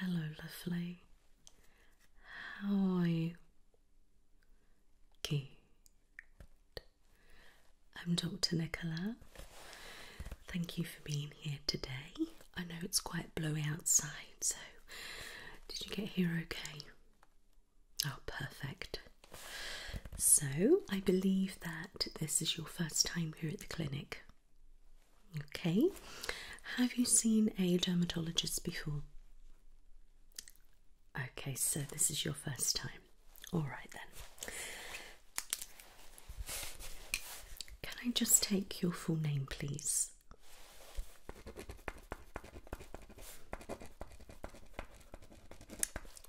Hello, lovely. How are you? Good. I'm Dr. Nicola. Thank you for being here today. I know it's quite blowy outside, so did you get here okay? Oh, perfect. So, I believe that this is your first time here at the clinic. Okay. Have you seen a dermatologist before? Okay, so this is your first time. All right then. Can I just take your full name, please?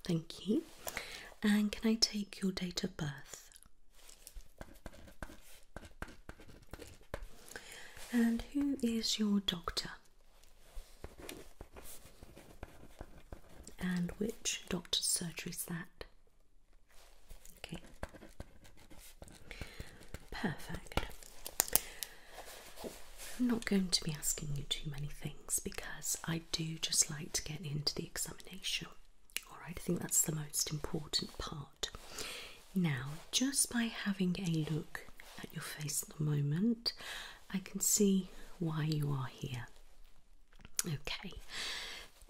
Thank you. And can I take your date of birth? And who is your doctor? And which doctor's surgery is that? Okay. Perfect. I'm not going to be asking you too many things because I do just like to get into the examination. Alright, I think that's the most important part. Now, just by having a look at your face at the moment, I can see why you are here. Okay,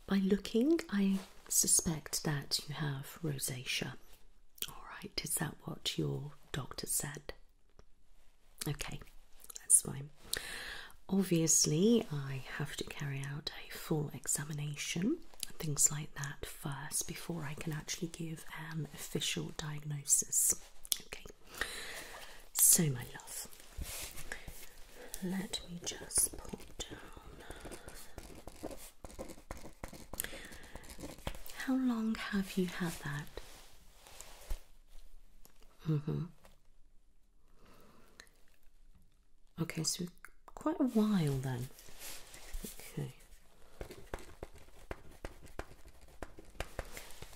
by looking, I suspect that you have rosacea. Alright, is that what your doctor said? Okay, that's fine. Obviously, I have to carry out a full examination and things like that first before I can actually give an official diagnosis. Okay, so my love, let me just put down. How long have you had that? Mm-hmm. Okay, so quite a while then. Okay.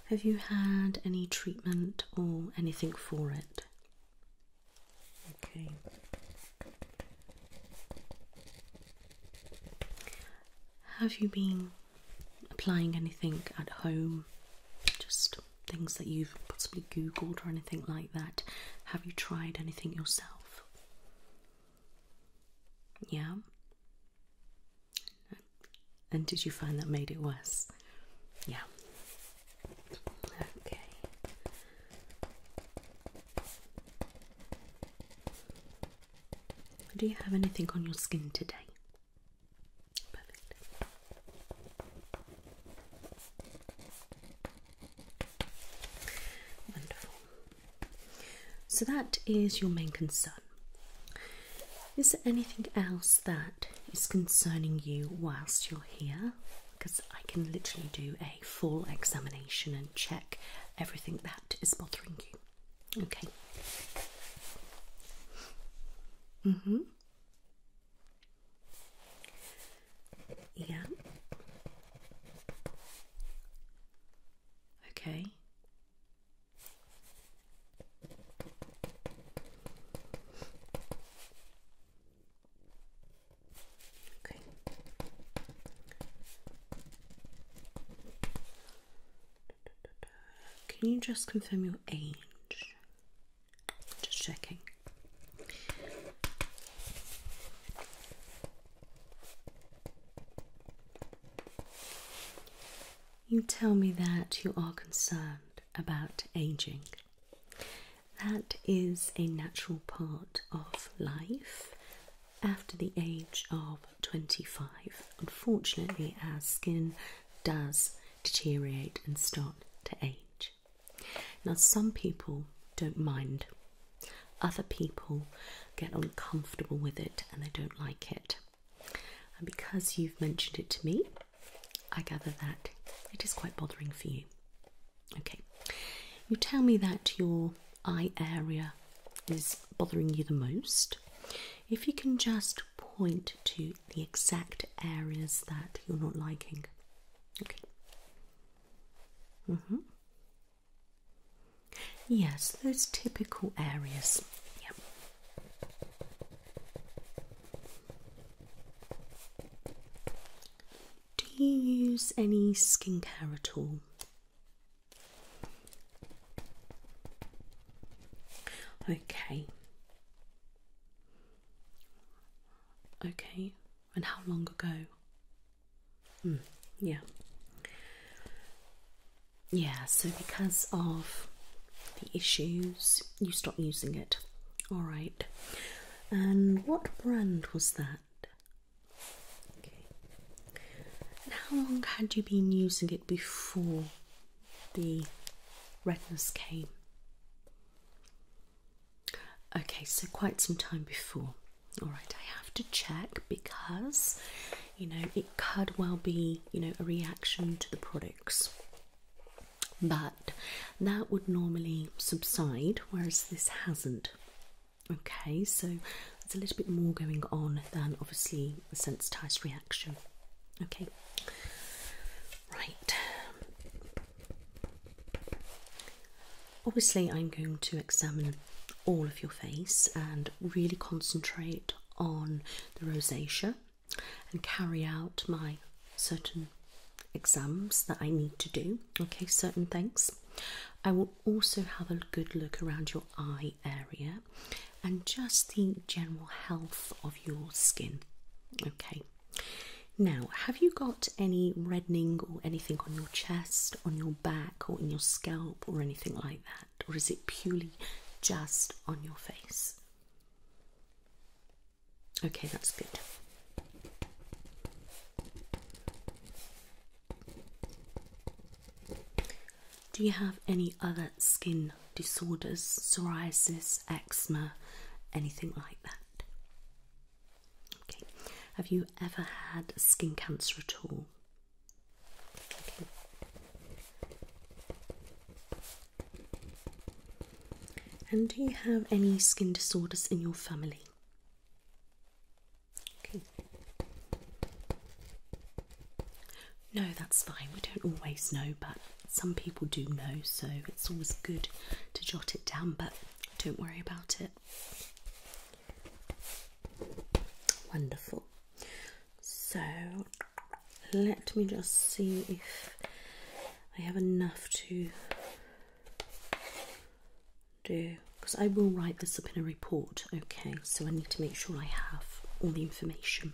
Have you had any treatment or anything for it? Okay. Have you been applying anything at home, just things that you've possibly Googled or anything like that. Have you tried anything yourself? Yeah. And did you find that made it worse? Yeah. Okay. Do you have anything on your skin today? Perfect. Wonderful. So that is your main concern. Is there anything else that is concerning you whilst you're here? Because I can literally do a full examination and check everything that is bothering you. Okay. Mm-hmm. Yeah. Okay. Okay. Can you just confirm your age? Just checking. You tell me that you are concerned about aging. That is a natural part of life. After the age of 25. Unfortunately, our skin does deteriorate and start to age. Now, some people don't mind, other people get uncomfortable with it and they don't like it. And because you've mentioned it to me, I gather that it is quite bothering for you. Okay, you tell me that your eye area is bothering you the most, if you can just point to the exact areas that you're not liking. Okay. Mm hmm. Yes, those typical areas. Yep. Do you use any skincare at all? Okay. Okay, and how long ago? Mm, yeah. Yeah, so because of the issues, you stopped using it. Alright. And what brand was that? Okay. how long had you been using it before the redness came. Okay, so quite some time before. Alright, I have to check because you know it could well be you know a reaction to the products, but that would normally subside, whereas this hasn't. Okay, so it's a little bit more going on than obviously a sensitized reaction. Okay. Right. Obviously, I'm going to examine all of your face and really concentrate on the rosacea and carry out my certain exams that I need to do. Okay, certain things. I will also have a good look around your eye area and just the general health of your skin. Okay, now have you got any reddening or anything on your chest, on your back, or in your scalp, or anything like that, or is it purely just on your face? Okay, that's good. Do you have any other skin disorders, psoriasis, eczema, anything like that? Okay. Have you ever had skin cancer at all? Okay. And do you have any skin disorders in your family? Okay. No, that's fine. We don't always know, but some people do know, so it's always good to jot it down, but don't worry about it. Wonderful. So let me just see if I have enough to do because I will write this up in a report, okay? So I need to make sure I have all the information.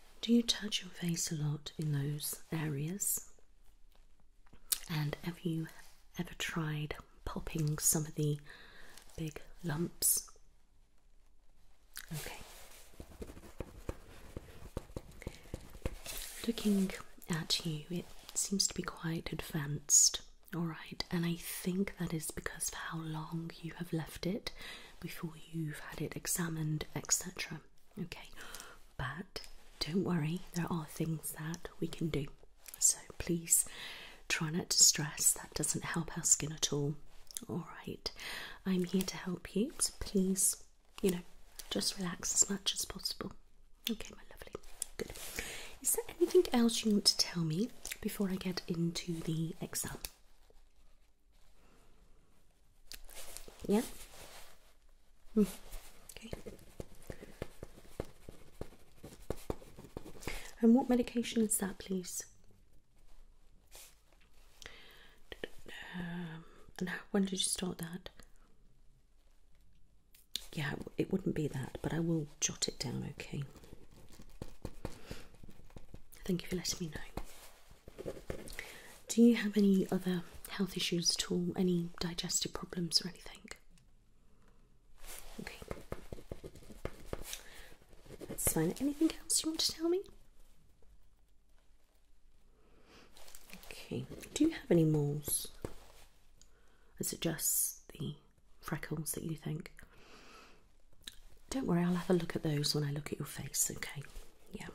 Do you touch your face a lot in those areas? And have you ever tried popping some of the big lumps? Okay. Looking at you, it seems to be quite advanced. Alright, and I think that is because of how long you have left it before you've had it examined, etc. Okay, but don't worry, there are things that we can do. So please try not to stress, that doesn't help our skin at all. Alright, I'm here to help you, so please, you know, just relax as much as possible. Okay, my lovely. Good. Is there anything else you want to tell me before I get into the exam? Yeah. Okay. And what medication is that, please? Um, and when did you start that? Yeah, it wouldn't be that, but I will jot it down, okay? Thank you for letting me know. Do you have any other health issues at all? Any digestive problems or anything? Okay. That's fine. Anything else you want to tell me? Okay. Do you have any moles? Is it just the freckles that you think? Don't worry, I'll have a look at those when I look at your face, okay? yeah.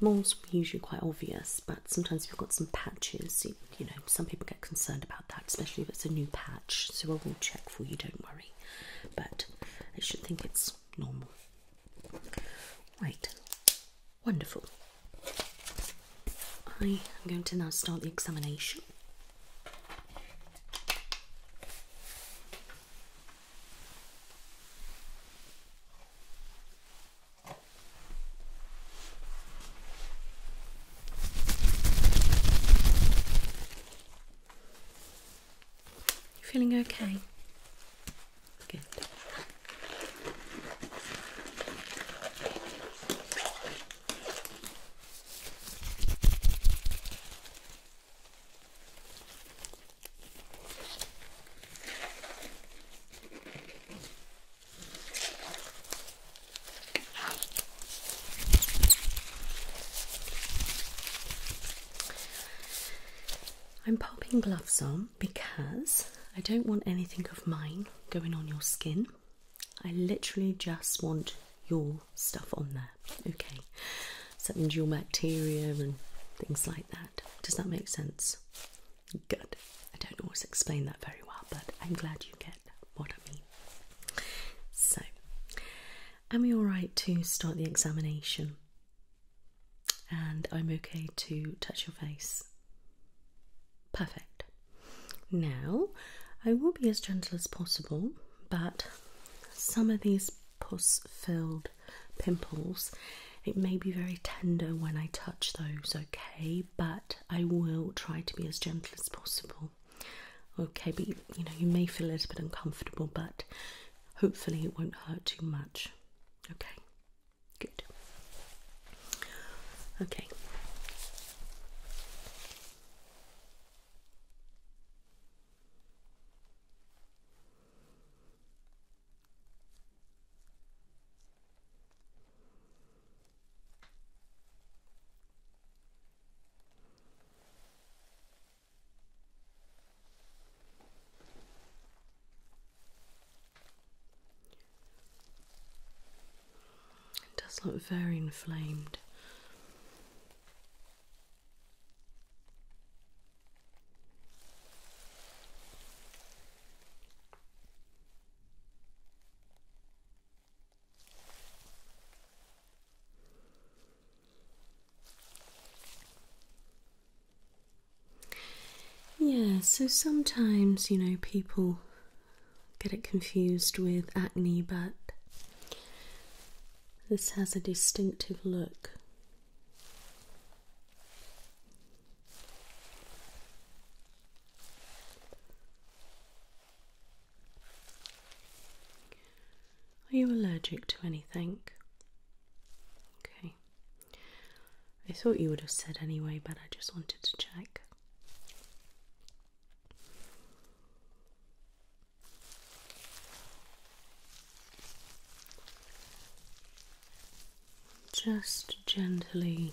Moles are usually quite obvious, but sometimes if you've got some patches, you, know, some people get concerned about that, especially if it's a new patch. So I will check for you, don't worry. But I should think it's normal. Right, wonderful. I am going to now start the examination. You feeling okay? Good. I'm popping gloves on because I don't want anything of mine going on your skin. I literally just want your stuff on there, okay? Except your bacteria and things like that. Does that make sense? Good. I don't always explain that very well, but I'm glad you get what I mean. So, am we alright to start the examination? And I'm okay to touch your face. Perfect. Now, I will be as gentle as possible, but some of these puss filled pimples. It may be very tender when I touch those, okay, but I will try to be as gentle as possible. Okay, but you know, you may feel a little bit uncomfortable, but hopefully it won't hurt too much. Okay, good. Okay. It does look very inflamed. Yeah, so sometimes, you know, people get it confused with acne, but this has a distinctive look. Are you allergic to anything? Okay. I thought you would have said anyway, but I just wanted to check. Just gently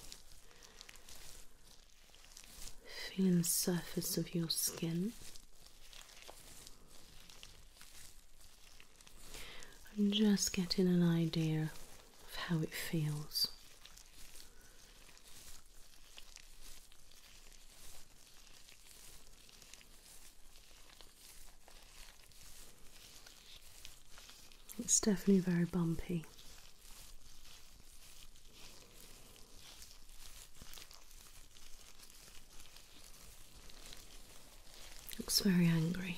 feeling the surface of your skin. I'm just getting an idea of how it feels. It's definitely very bumpy. Looks very angry.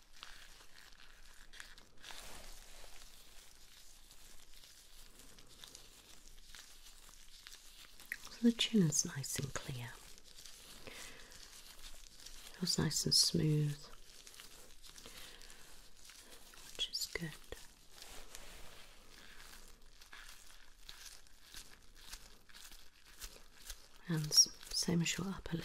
the chin is nice and clear. It feels nice and smooth, which is good. And same as your upper lip.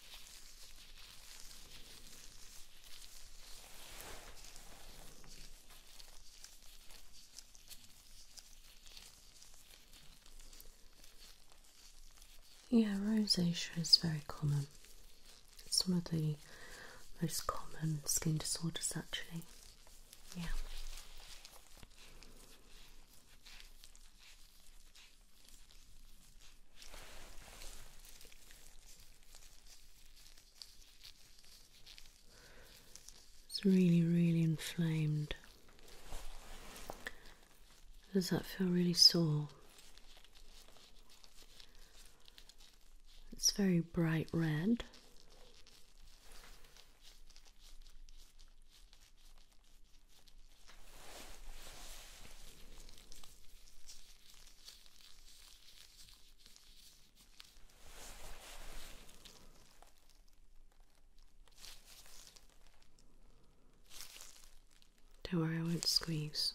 Yeah, rosacea is very common. It's one of the most common skin disorders, actually. Yeah. It's really, really inflamed. Does that feel really sore? It's very bright red. Don't worry, I won't squeeze.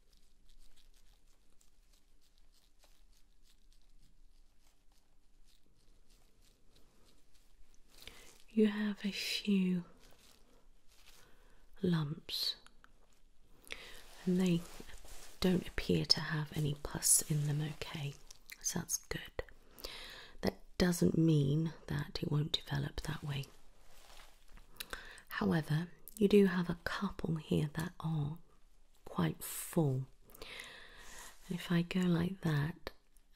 You have a few lumps, and they don't appear to have any pus in them, okay? So that's good. That doesn't mean that it won't develop that way. However, you do have a couple here that are quite full. if I go like that,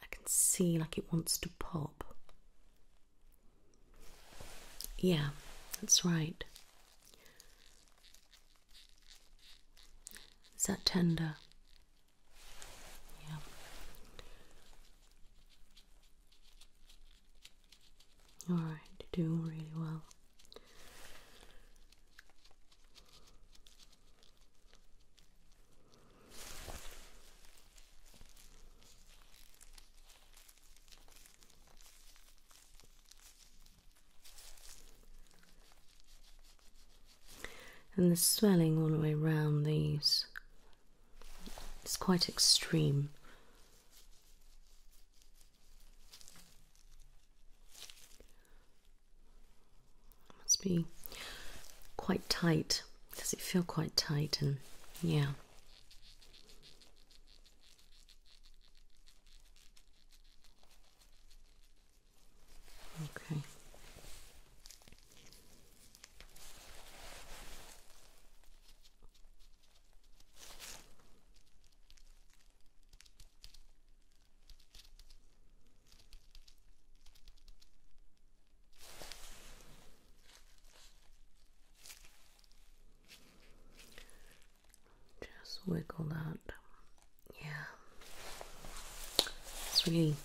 I can see like it wants to pop. Yeah, that's right. Is that tender? Yeah. Alright, you're doing really well. And the swelling all the way around these is quite extreme must be quite tight. Does it feel quite tight? And yeah. Okay. Just wiggle that. Yeah. It's really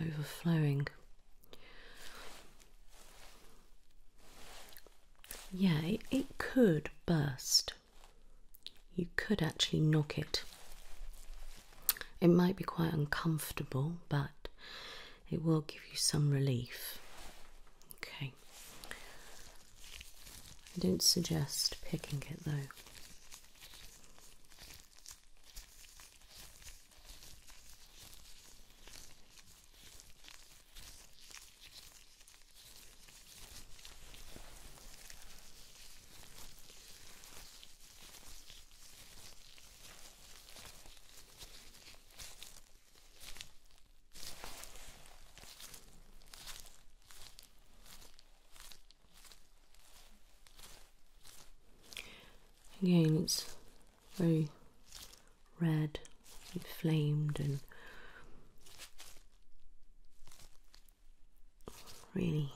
overflowing. Yeah, it, could burst. You could actually knock it. It might be quite uncomfortable, but it will give you some relief. Okay. I don't suggest picking it though. Again, it's very red inflamed and really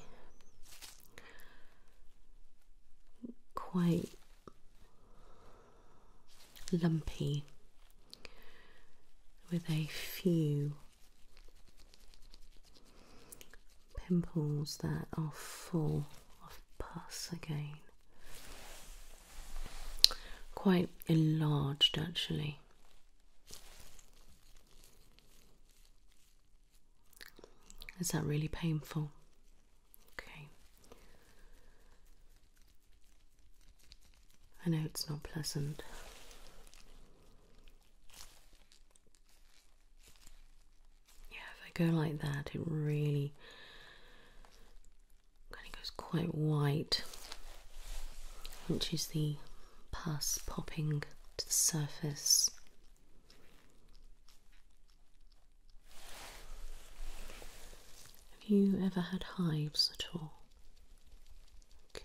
quite lumpy with a few pimples that are full of pus again quite enlarged actually. Is that really painful? Okay. I know it's not pleasant. Yeah, if I go like that, it really kind of goes quite white, which is the pus popping to the surface. Have you ever had hives at all? Okay.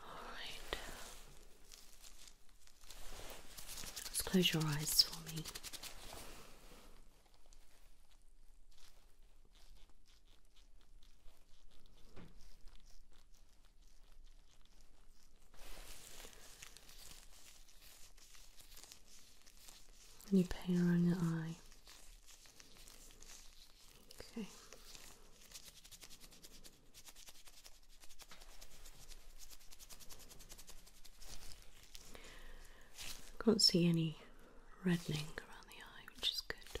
Alright. Let's close your eyes for me. Any pain around your eye? Okay. I can't see any reddening around the eye, which is good.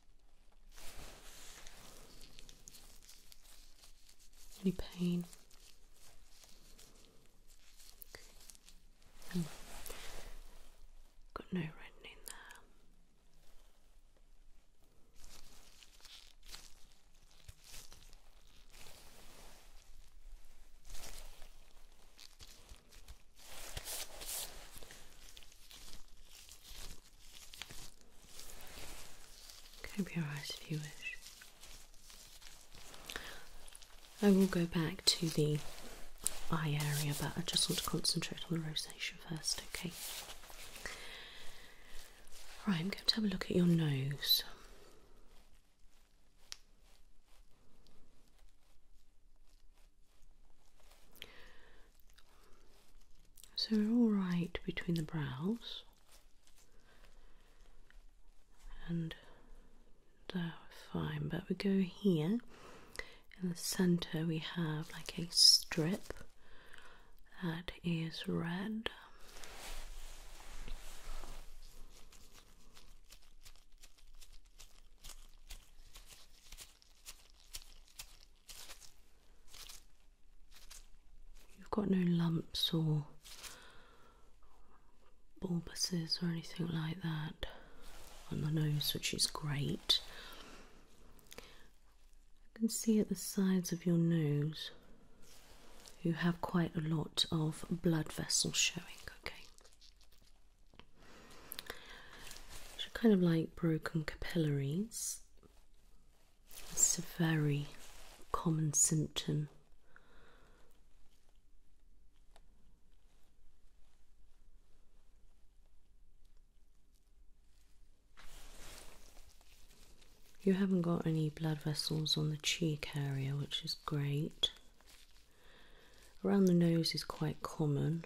Any pain? Um, got no reddening there. Cover your eyes if you wish. I will go back to the eye area, but I just want to concentrate on the rosacea first, okay? Right, I'm going to have a look at your nose. So we're all right between the brows and they uh, fine, but we go here in the center, we have like a strip that is red. You've got no lumps or bulbuses or anything like that on the nose, which is great. I can see at the sides of your nose you have quite a lot of blood vessels showing, okay? kind of like broken capillaries. It's a very common symptom. You haven't got any blood vessels on the cheek area, which is great. Around the nose is quite common.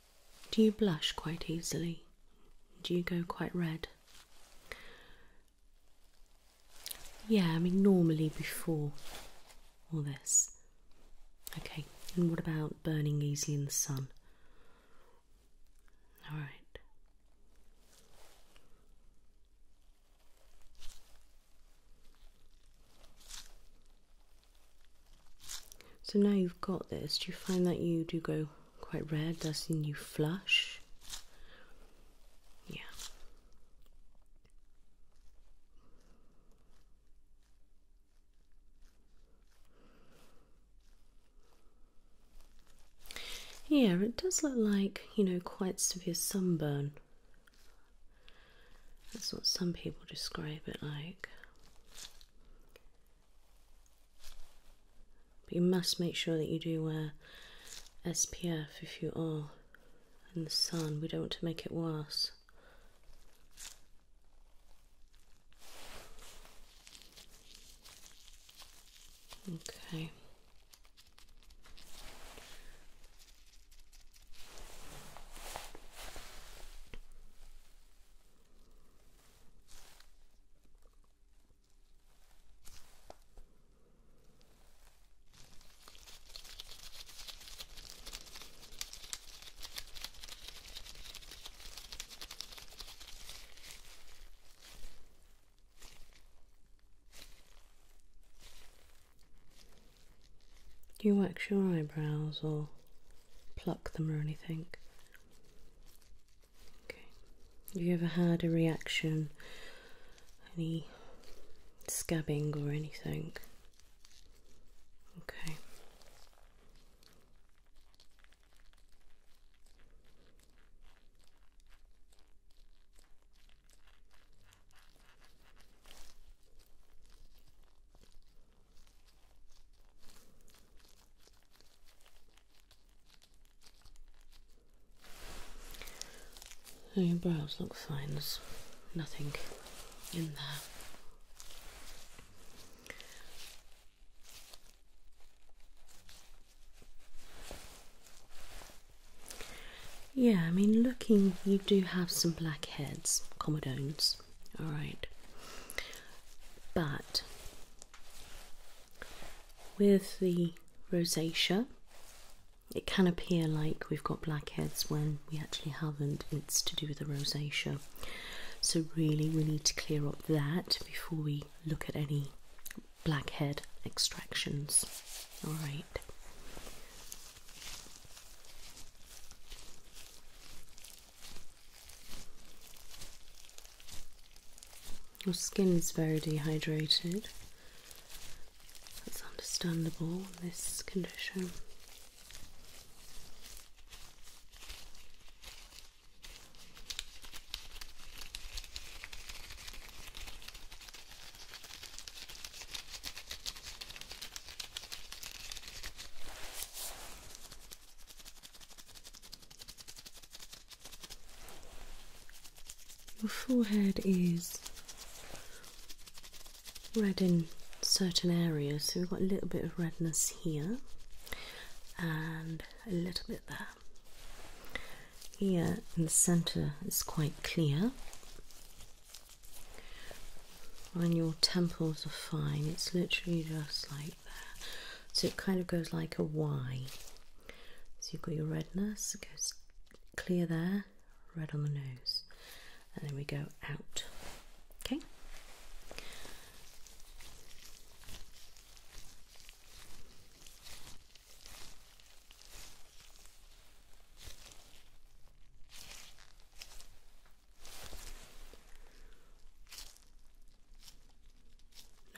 Do you blush quite easily? Do you go quite red? Yeah, I mean, normally before all this. Okay, and what about burning easily in the sun? Alright. So now you've got this, do you find that you do go quite red as in you flush? Yeah. Yeah, it does look like, you know, quite severe sunburn. That's what some people describe it like. But you must make sure that you do wear SPF if you are in the sun. We don't want to make it worse. Okay. Do you wax your eyebrows or pluck them or anything? Have you ever had a reaction? Any scabbing or anything? Okay your brows look fine. There's nothing in there. Yeah, I mean, looking, you do have some blackheads, comedones, all right. But with the rosacea, it can appear like we've got blackheads when we actually haven't, it's to do with the rosacea. So, really, we need to clear up that before we look at any blackhead extractions. Alright. Your skin is very dehydrated. It's understandable in this condition. Your forehead is red in certain areas, so we've got a little bit of redness here and a little bit there. Here in the centre is quite clear. And your temples are fine, it's literally just like so it kind of goes like a Y. So you've got your redness, it goes clear there, red on the nose, and then we go out. Okay.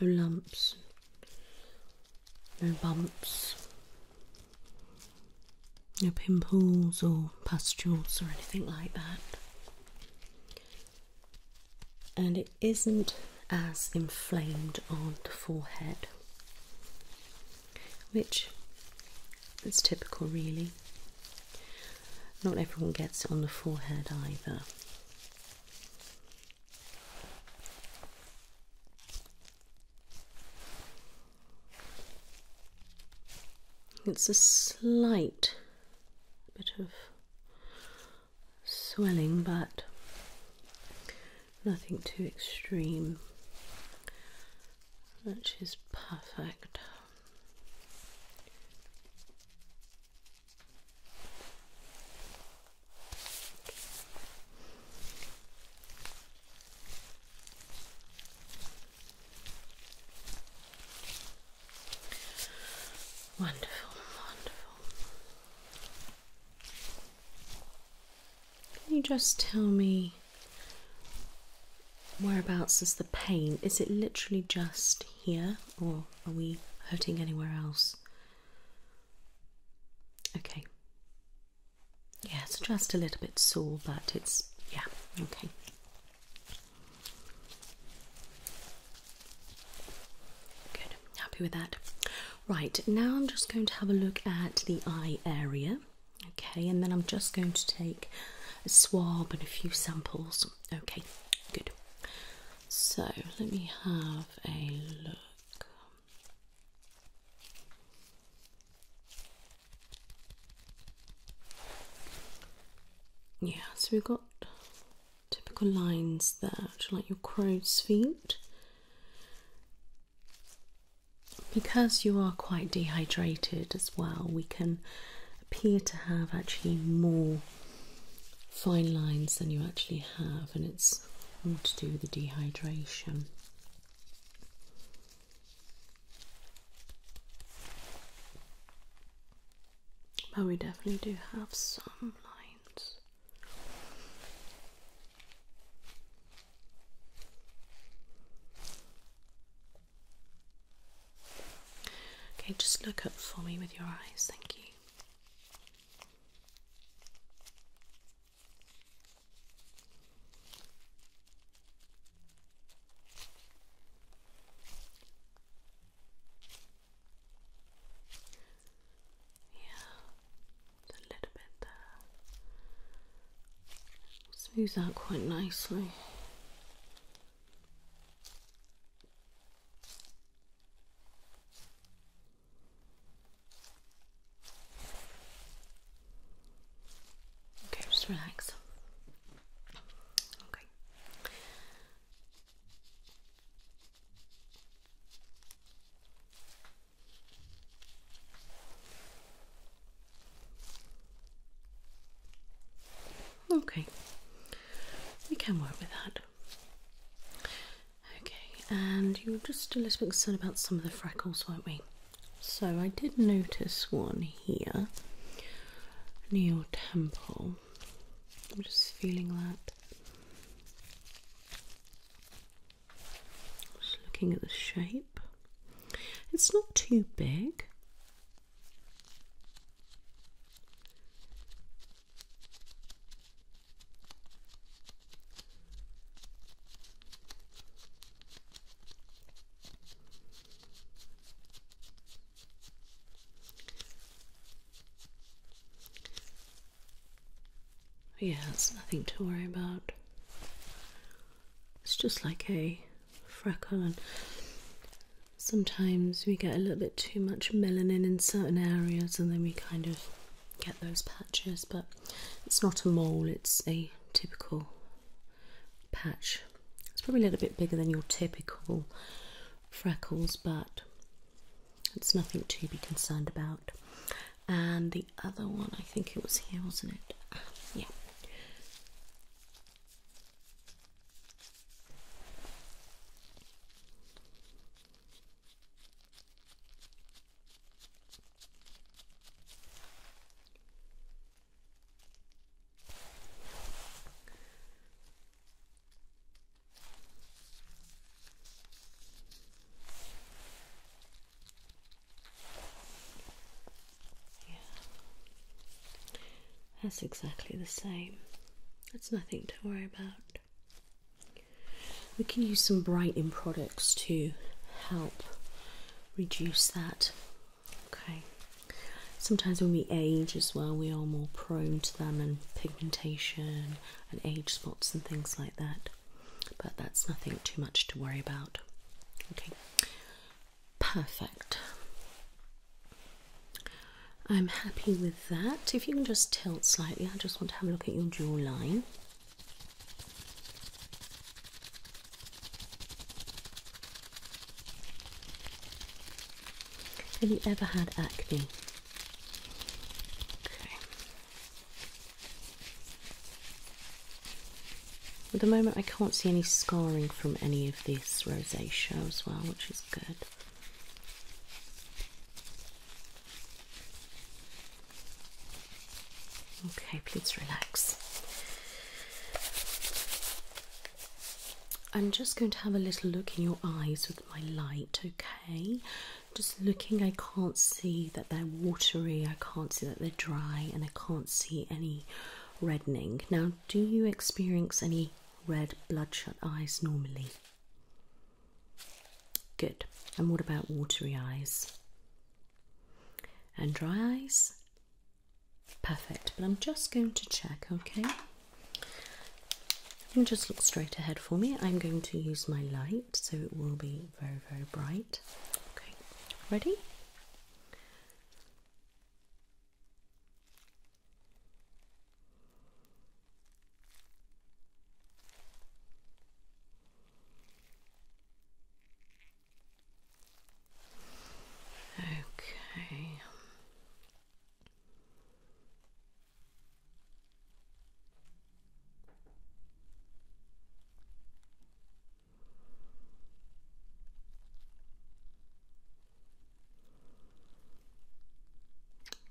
No lumps, no bumps, no pimples or pustules or anything like that. And it isn't as inflamed on the forehead, which is typical, really. Not everyone gets it on the forehead either. It's a slight bit of swelling, but nothing too extreme, which is perfect. Wonderful, wonderful. Can you just tell me whereabouts is the pain? Is it literally just here, or are we hurting anywhere else? Okay. Yeah, it's just a little bit sore, but it's, yeah, okay. Good, happy with that. Right, now I'm just going to have a look at the eye area. Okay, and then I'm just going to take a swab and a few samples. Okay, good. So let me have a look. Yeah, so we've got typical lines there, like your crow's feet. Because you are quite dehydrated as well, we can appear to have actually more fine lines than you actually have, and it's all to do with the dehydration. But we definitely do have some lines. Okay, just look up for me with your eyes, thank you. Yeah, it's a little bit there. out quite nicely. Okay, just relax. Okay. Okay. We can work with that. Okay, and you are just a little bit concerned about some of the freckles, weren't we? So I did notice one here near your temple. I'm just feeling that. Just looking at the shape. It's not too big. Yeah, it's nothing to worry about. It's just like a freckle, sometimes we get a little bit too much melanin in certain areas, and then we kind of get those patches, but it's not a mole, it's a typical patch. It's probably a little bit bigger than your typical freckles, but it's nothing to be concerned about. And the other one, I think it was here, wasn't it? yeah. Yeah, that's exactly the same. That's nothing to worry about. We can use some brightening products to help reduce that. Okay. Sometimes when we age as well, we are more prone to them and pigmentation and age spots and things like that. But that's nothing too much to worry about. Okay. Perfect. I'm happy with that. If you can just tilt slightly, I just want to have a look at your jawline. Have you ever had acne? At the moment, I can't see any scarring from any of this rosacea as well, which is good. Okay, please relax. I'm just going to have a little look in your eyes with my light, okay? Just looking, I can't see that they're watery, I can't see that they're dry, and I can't see any reddening. Now, do you experience any red bloodshot eyes normally? Good. And what about watery eyes? And dry eyes? Perfect. But I'm just going to check, okay? You can just look straight ahead for me. I'm going to use my light so it will be very, very bright. Okay, ready? Okay.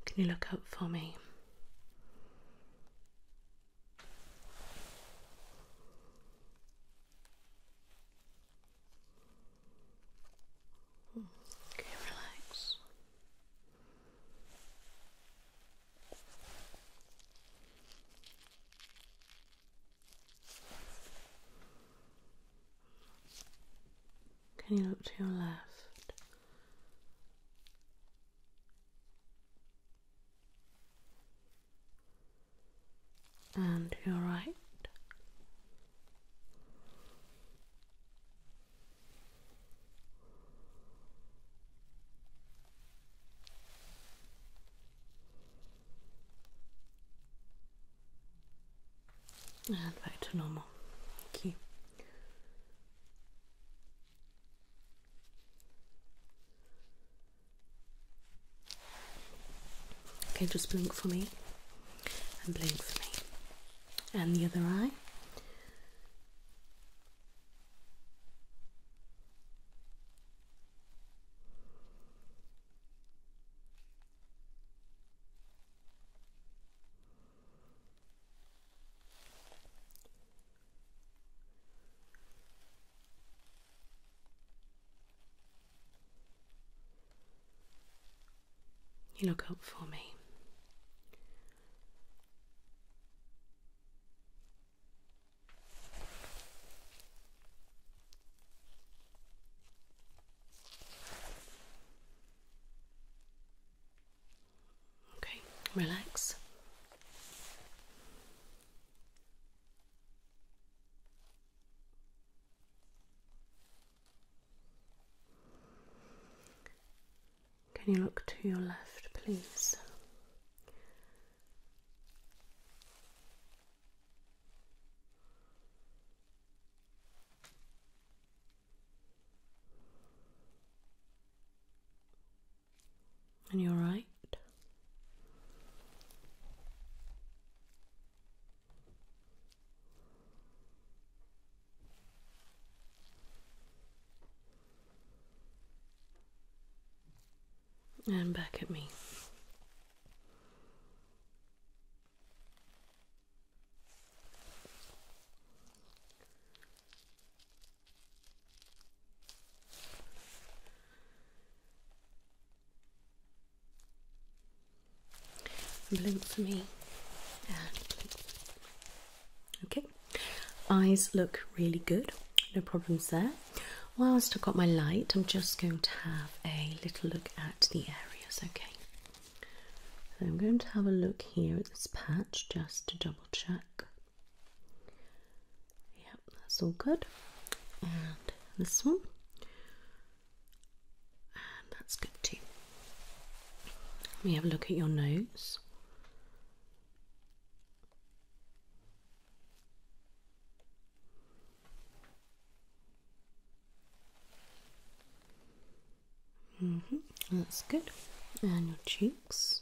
Can you look up for me? Okay, relax. Can you look to your left? and you're right. And back to normal. Thank Okay, just blink for me and blink for me. And the other eye. You look up for me. Okay, relax. Can you look to your left, please? And you're right. And back at me. Blink for me Okay, eyes look really good, no problems there. Whilst I've got my light, I'm just going to have a little look at the areas. Okay, I'm going to have a look here at this patch just to double check. Yep, that's all good. And this one. And that's good too. Let me have a look at your nose. -hmm. That's good. And your cheeks.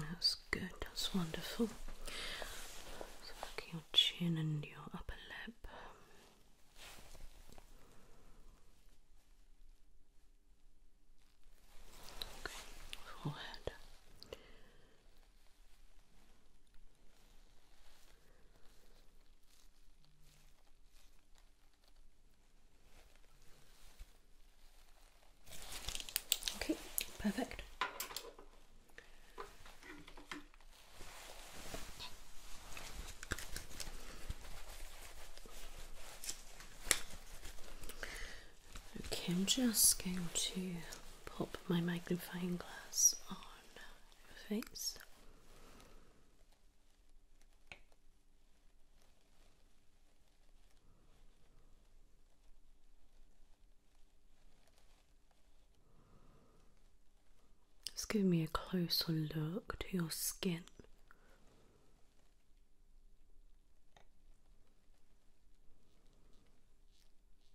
That's good, that's wonderful. So look your chin and your upper lip. Okay, forehead. Okay, perfect. Okay, I'm just going to pop my magnifying glass on your face. Just give me a closer look to your skin.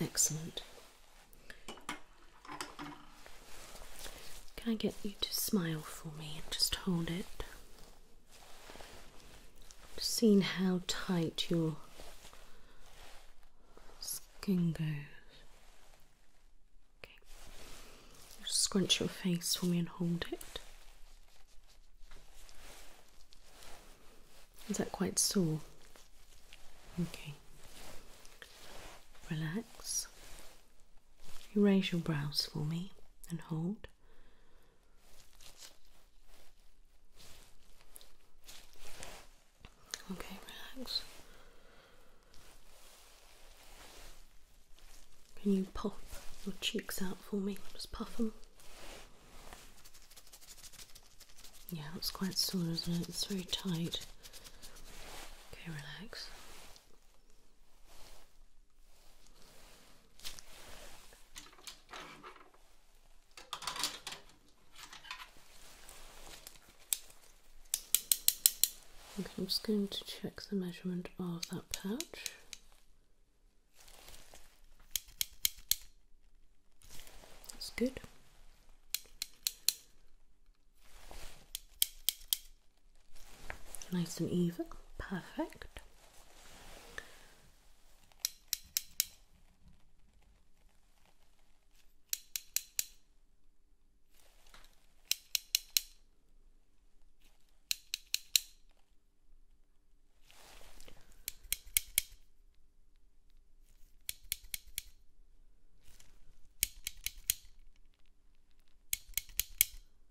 Excellent. Can I get you to smile for me and just hold it Seen how tight your skin goes. Okay. scrunch your face for me and hold it. Is that quite sore? Okay. Relax. You raise your brows for me and hold. Okay, relax. Can you pop your cheeks out for me? Just puff them. Yeah, it's quite sore, isn't it? It's very tight. Okay, relax. I'm just going to check the measurement of that pouch. That's good. Nice and even, perfect.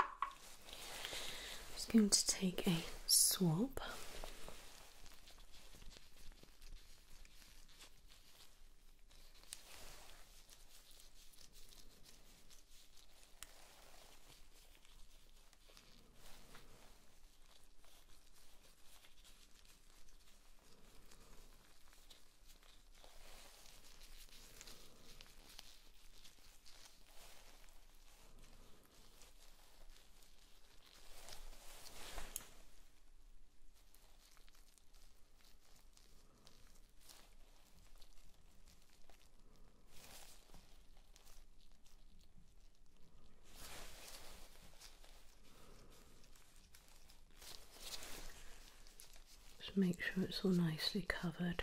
I'm just going to take a swab. Just make sure it's all nicely covered.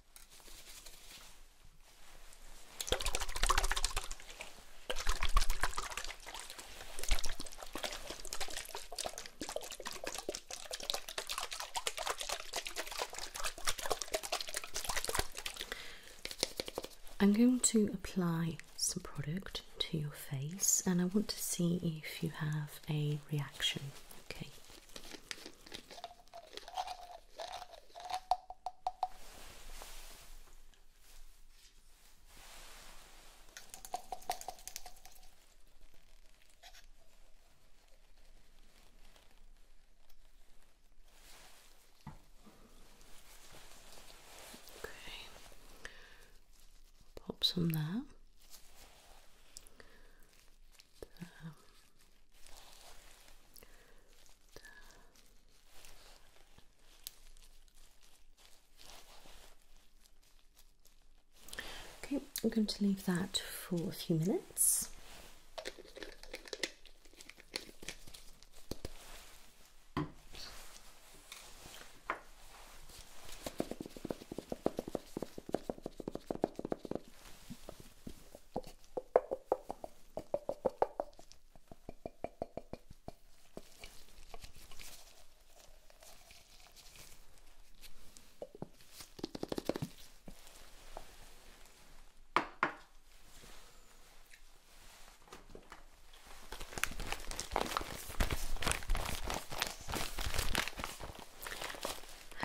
I'm going to apply some product to your face and I want to see if you have a reaction. Okay. Okay, pop some there. there. Okay, I'm going to leave that for a few minutes.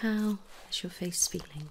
How is your face feeling?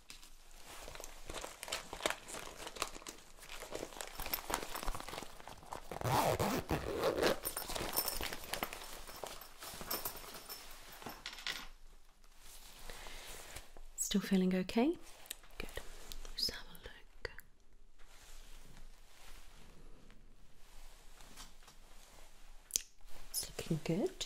Still feeling okay? Good. Let's have a look. It's looking good.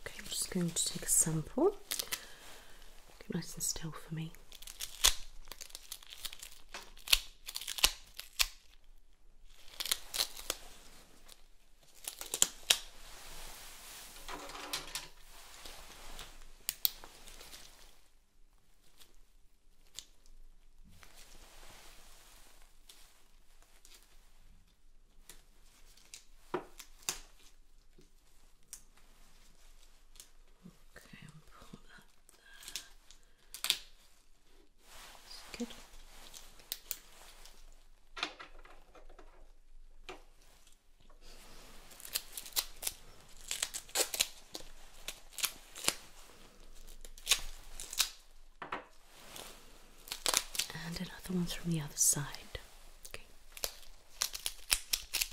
Okay, I'm just going to take a sample. Get nice and still for me. Okay, and put that there. That's good. And another one's from the other side. Okay.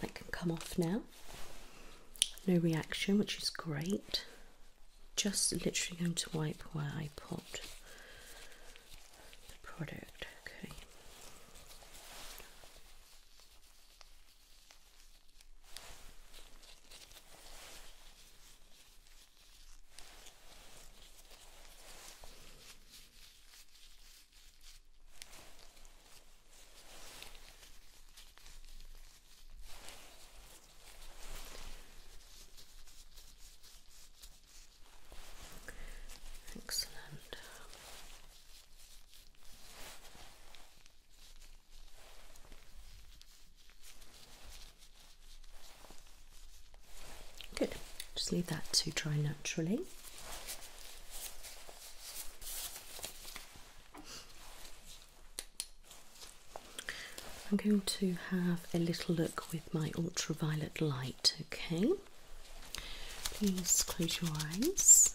That can come off now. No reaction, which is great. Just literally going to wipe where I put the product. Okay. Excellent. Good. Just leave that to dry naturally. I'm going to have a little look with my ultraviolet light, okay? Please close your eyes.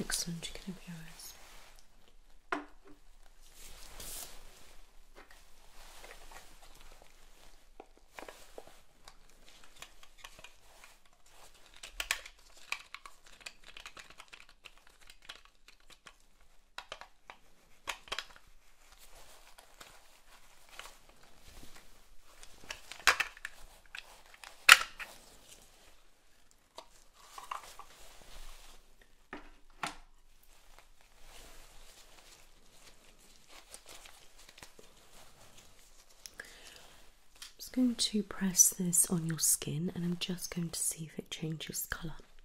Excellent, you can open your eyes. I'm just going to press this on your skin and I'm just going to see if it changes colour.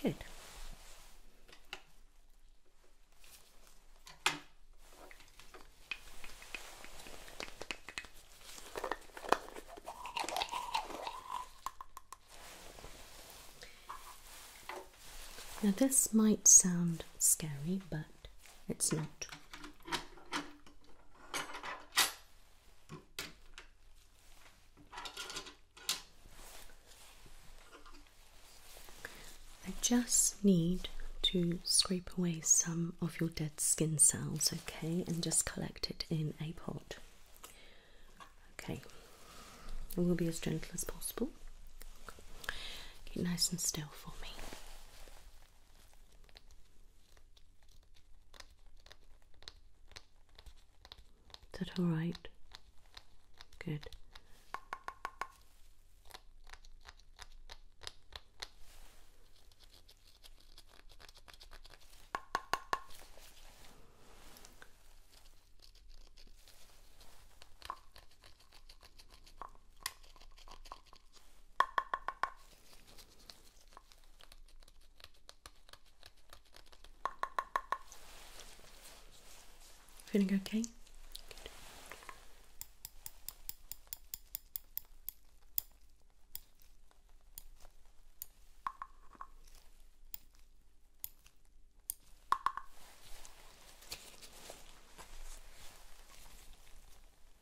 Good. Now, this might sound scary, but it's not. I just need to scrape away some of your dead skin cells, okay, and just collect it in a pot. Okay, we'll be as gentle as possible. Keep nice and still for me. Is that all right? Good. Feeling okay?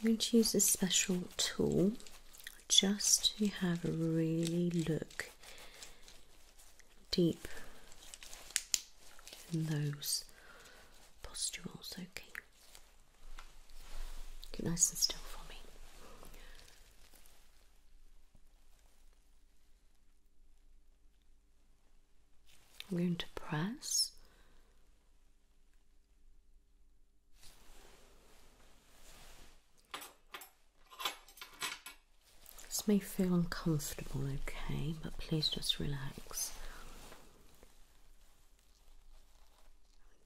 I'm going to use a special tool just to have a really look deep in those pustules. Okay. Get nice and still for me. I'm going to press. This may feel uncomfortable, okay, but please just relax.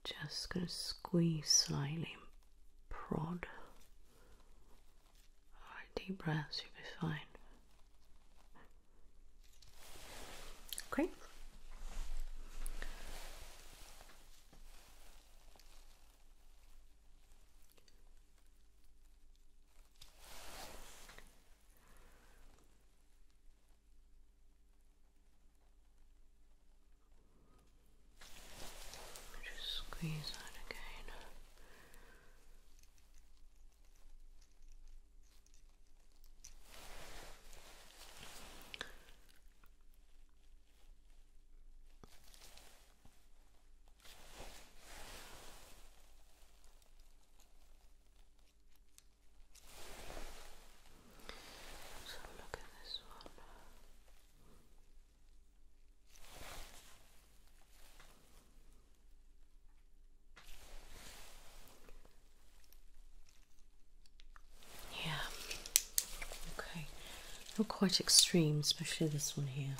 I'm just going to squeeze slightly and prod. Alright, deep breaths, you'll be fine. Okay. Just squeeze that again. Good let look at this one. Yeah. Okay. Not quite extreme, especially this one here.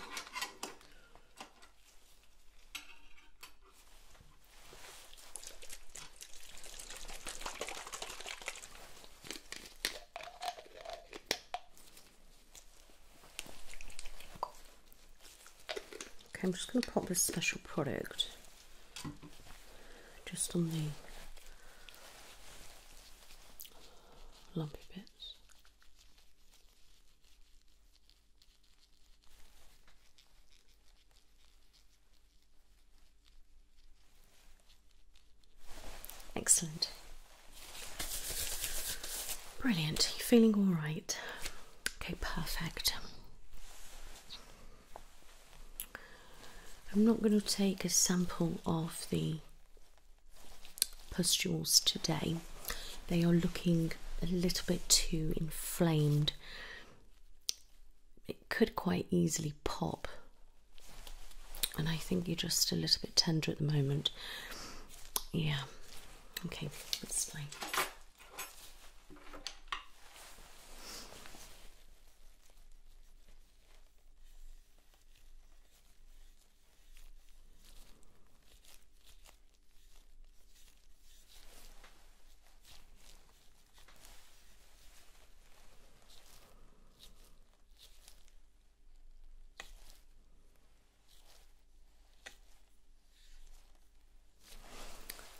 Okay, I'm just going to pop this special product just on the lumpy bits. Excellent. Brilliant. You feeling all right? Okay, perfect. I'm not going to take a sample of the pustules today. They are looking a little bit too inflamed could quite easily pop. And I think you're just a little bit tender at the moment. Yeah. Okay, that's fine.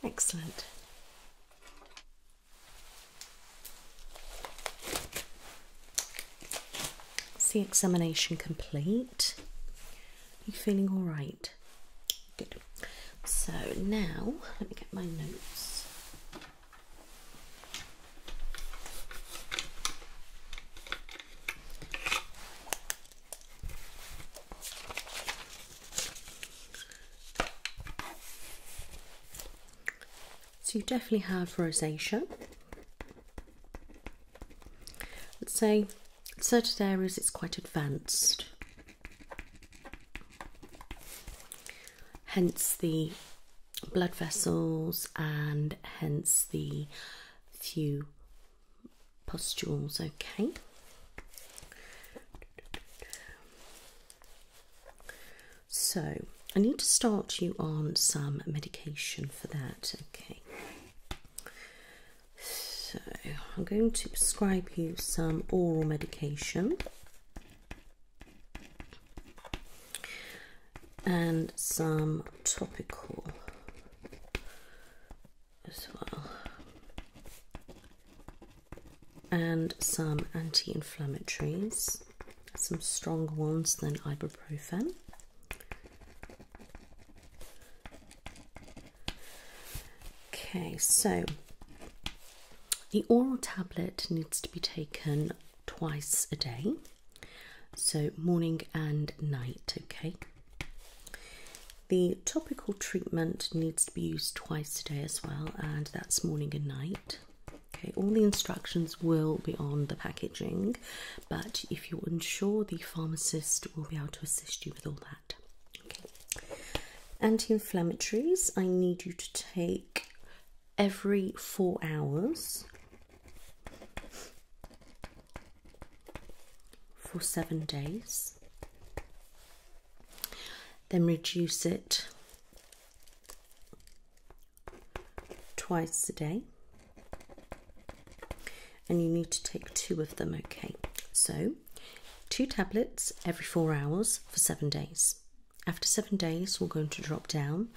Excellent. Is the examination complete? You feeling all right? Good. So now let me get my notes. So you definitely have rosacea. Let's say certain areas it's quite advanced. Hence the blood vessels and hence the few pustules. Okay. So, I need to start you on some medication for that. Okay. So, I'm going to prescribe you some oral medication and some topical as well, and some anti inflammatories, some stronger ones than ibuprofen. Okay, so the oral tablet needs to be taken twice a day, so morning and night. Okay, the topical treatment needs to be used twice a day as well, and that's morning and night. Okay, all the instructions will be on the packaging, but if you're unsure, the pharmacist will be able to assist you with all that. Okay. Anti inflammatories, I need you to take every four hours for seven days, then reduce it twice a day. And you need to take two of them, okay? So, two tablets every four hours for seven days. After seven days, we're going to drop down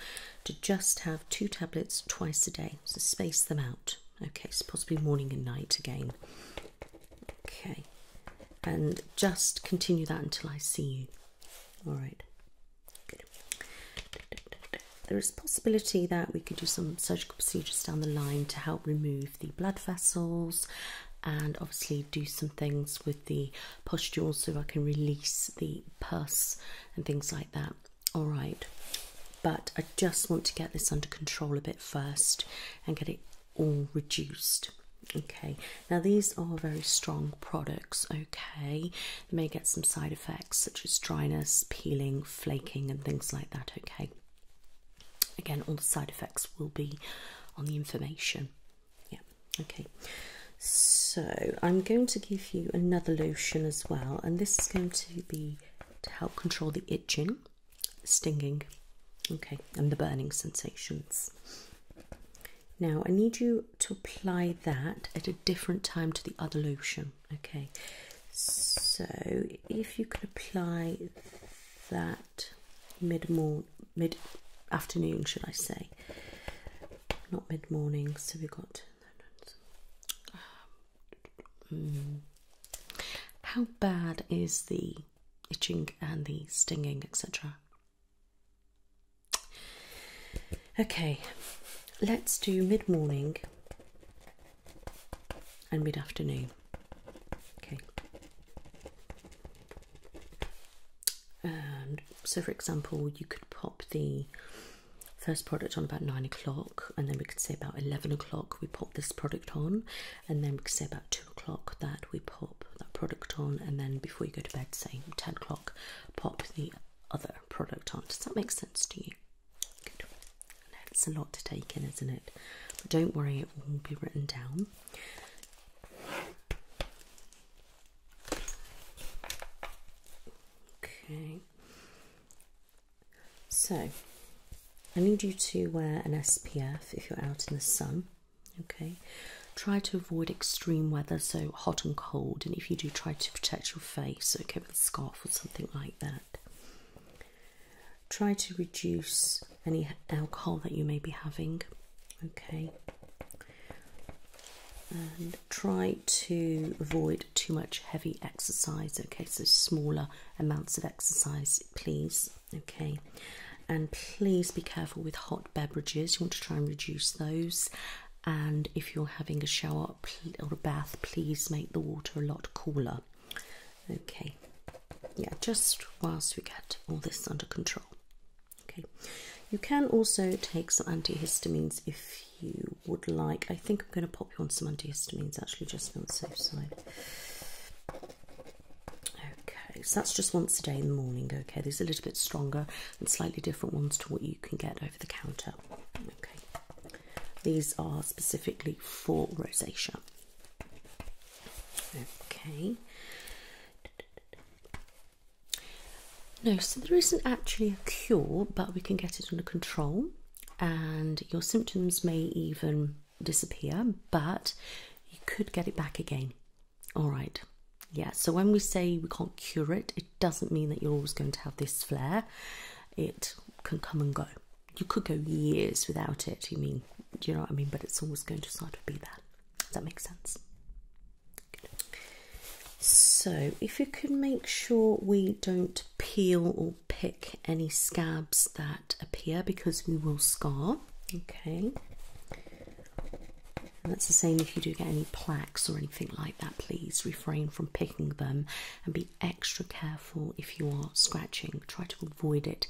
to just have two tablets twice a day. So space them out. Okay, so possibly morning and night again. Okay, and just continue that until I see you. All right. There is possibility that we could do some surgical procedures down the line to help remove the blood vessels and obviously do some things with the pustules so I can release the pus and things like that. All right, but I just want to get this under control a bit first and get it all reduced. Okay, now these are very strong products. Okay, they may get some side effects such as dryness, peeling, flaking, and things like that. Okay, again, all the side effects will be on the information. Yeah, okay. So I'm going to give you another lotion as well, and this is going to be to help control the itching, stinging, okay, and the burning sensations. Now I need you to apply that at a different time to the other lotion, okay. So if you can apply that mid mid afternoon, should I say? Not mid morning, so we got. Um, how bad is the itching and the stinging, etc.? Okay, let's do mid morning and mid afternoon. Okay, so, for example, you could pop the first product on about nine o'clock, and then we could say about eleven o'clock we pop this product on, and then we could say about two o'clock that we pop that product on, and then before you go to bed, say ten o'clock, pop the other product on. Does that make sense to you? That's a lot to take in, isn't it? But don't worry, it will be written down. Okay. So, I need you to wear an SPF if you're out in the sun. Okay. Try to avoid extreme weather, so hot and cold. And if you do, try to protect your face, okay, with a scarf or something like that. Try to reduce any alcohol that you may be having. Okay and try to avoid too much heavy exercise okay so smaller amounts of exercise please okay and please be careful with hot beverages you want to try and reduce those and if you're having a shower or a bath please make the water a lot cooler okay yeah just whilst we get all this under control Okay, you can also take some antihistamines if you would like. I think I'm going to pop you on some antihistamines actually, just on the safe side. Okay, so that's just once a day in the morning. Okay, these are a little bit stronger and slightly different ones to what you can get over the counter. Okay, these are specifically for rosacea. Okay. No, so there isn't actually a cure, but we can get it under control, and your symptoms may even disappear, but you could get it back again. All right, yeah. So, when we say we can't cure it, it doesn't mean that you're always going to have this flare, it can come and go. You could go years without it, you mean, do you know what I mean? But it's always going to sort of be that. Does that make sense? So, if you could make sure we don't peel or pick any scabs that appear because we will scar, okay. that's the same if you do get any plaques or anything like that, please refrain from picking them and be extra careful if you are scratching. Try to avoid it.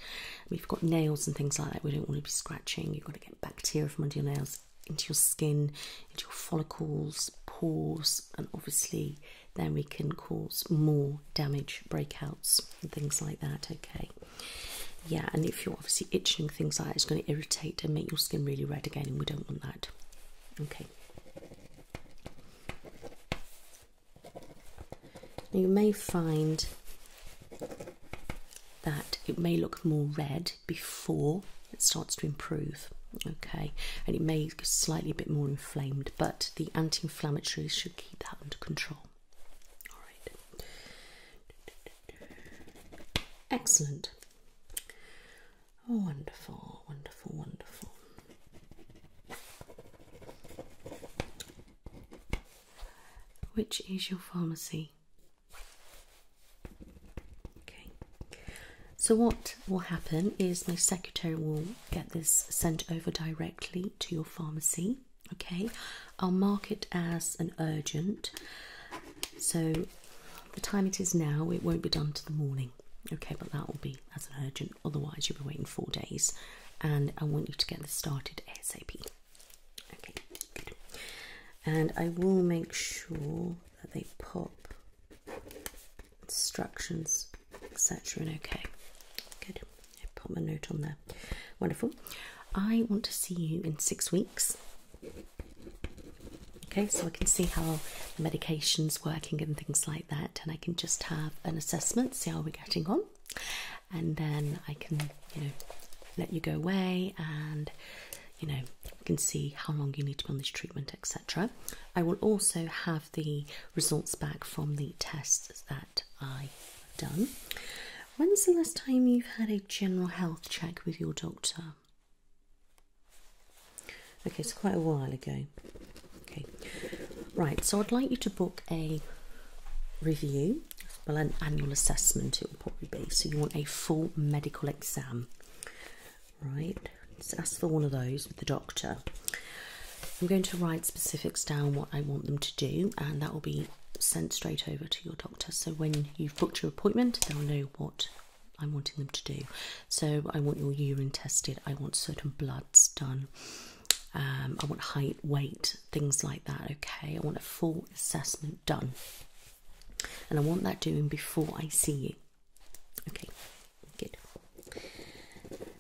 We've got nails and things like that, we don't want to be scratching. You've got to get bacteria from under your nails into your skin, into your follicles, pores, and obviously then we can cause more damage, breakouts, and things like that. Okay, yeah, and if you're obviously itching, things like that, it's going to irritate and make your skin really red again, and we don't want that. Okay. Now you may find that it may look more red it before it starts to improve. Okay, and it may get slightly a bit more inflamed, but the anti inflammatories should keep that under control. All right, excellent. Oh, wonderful, wonderful, wonderful. Which is your pharmacy? Okay. So what will happen is my secretary will get this sent over directly to your pharmacy. Okay. I'll mark it as an urgent. So the time it is now, it won't be done to the morning. Okay, but that will be as an urgent. Otherwise, you'll be waiting four days, and I want you to get this started ASAP. Okay, good. And I will make sure that they pop instructions, etc. And okay, good. I put my note on there. Wonderful. I want to see you in six weeks. Okay, so I can see how the medication's working and things like that, and I can just have an assessment, see how we're getting on, and then I can, you know, let you go away and you know, you can see how long you need to be on this treatment, etc. I will also have the results back from the tests that I done. When's the last time you've had a general health check with your doctor? Okay, it's quite a while ago. Okay, right. So I'd like you to book a review, well, an annual assessment. It will probably be. So you want a full medical exam right? Let's ask for one of those with the doctor. I'm going to write specifics down what I want them to do, and that will be sent straight over to your doctor. So when you've booked your appointment, they'll know what I'm wanting them to do. So I want your urine tested, I want certain bloods done. Um, I want height, weight, things like that. Okay, I want a full assessment done, and I want that doing before I see you. Okay, good.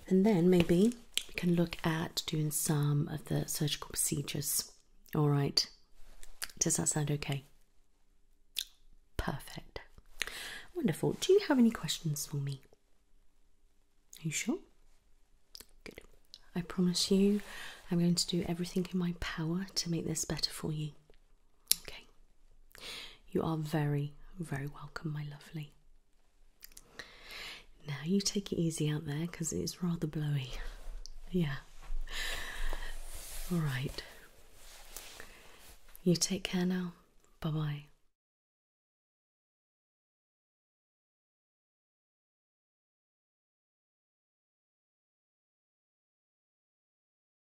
And then maybe we can look at doing some of the surgical procedures. All right. Does that sound okay? Perfect. Wonderful. Do you have any questions for me? Are you sure? Good. I promise you, I'm going to do everything in my power to make this better for you. Okay. You are very, very welcome, my lovely. Now you take it easy out there because it's rather blowy. yeah. All right. You take care now. Bye bye.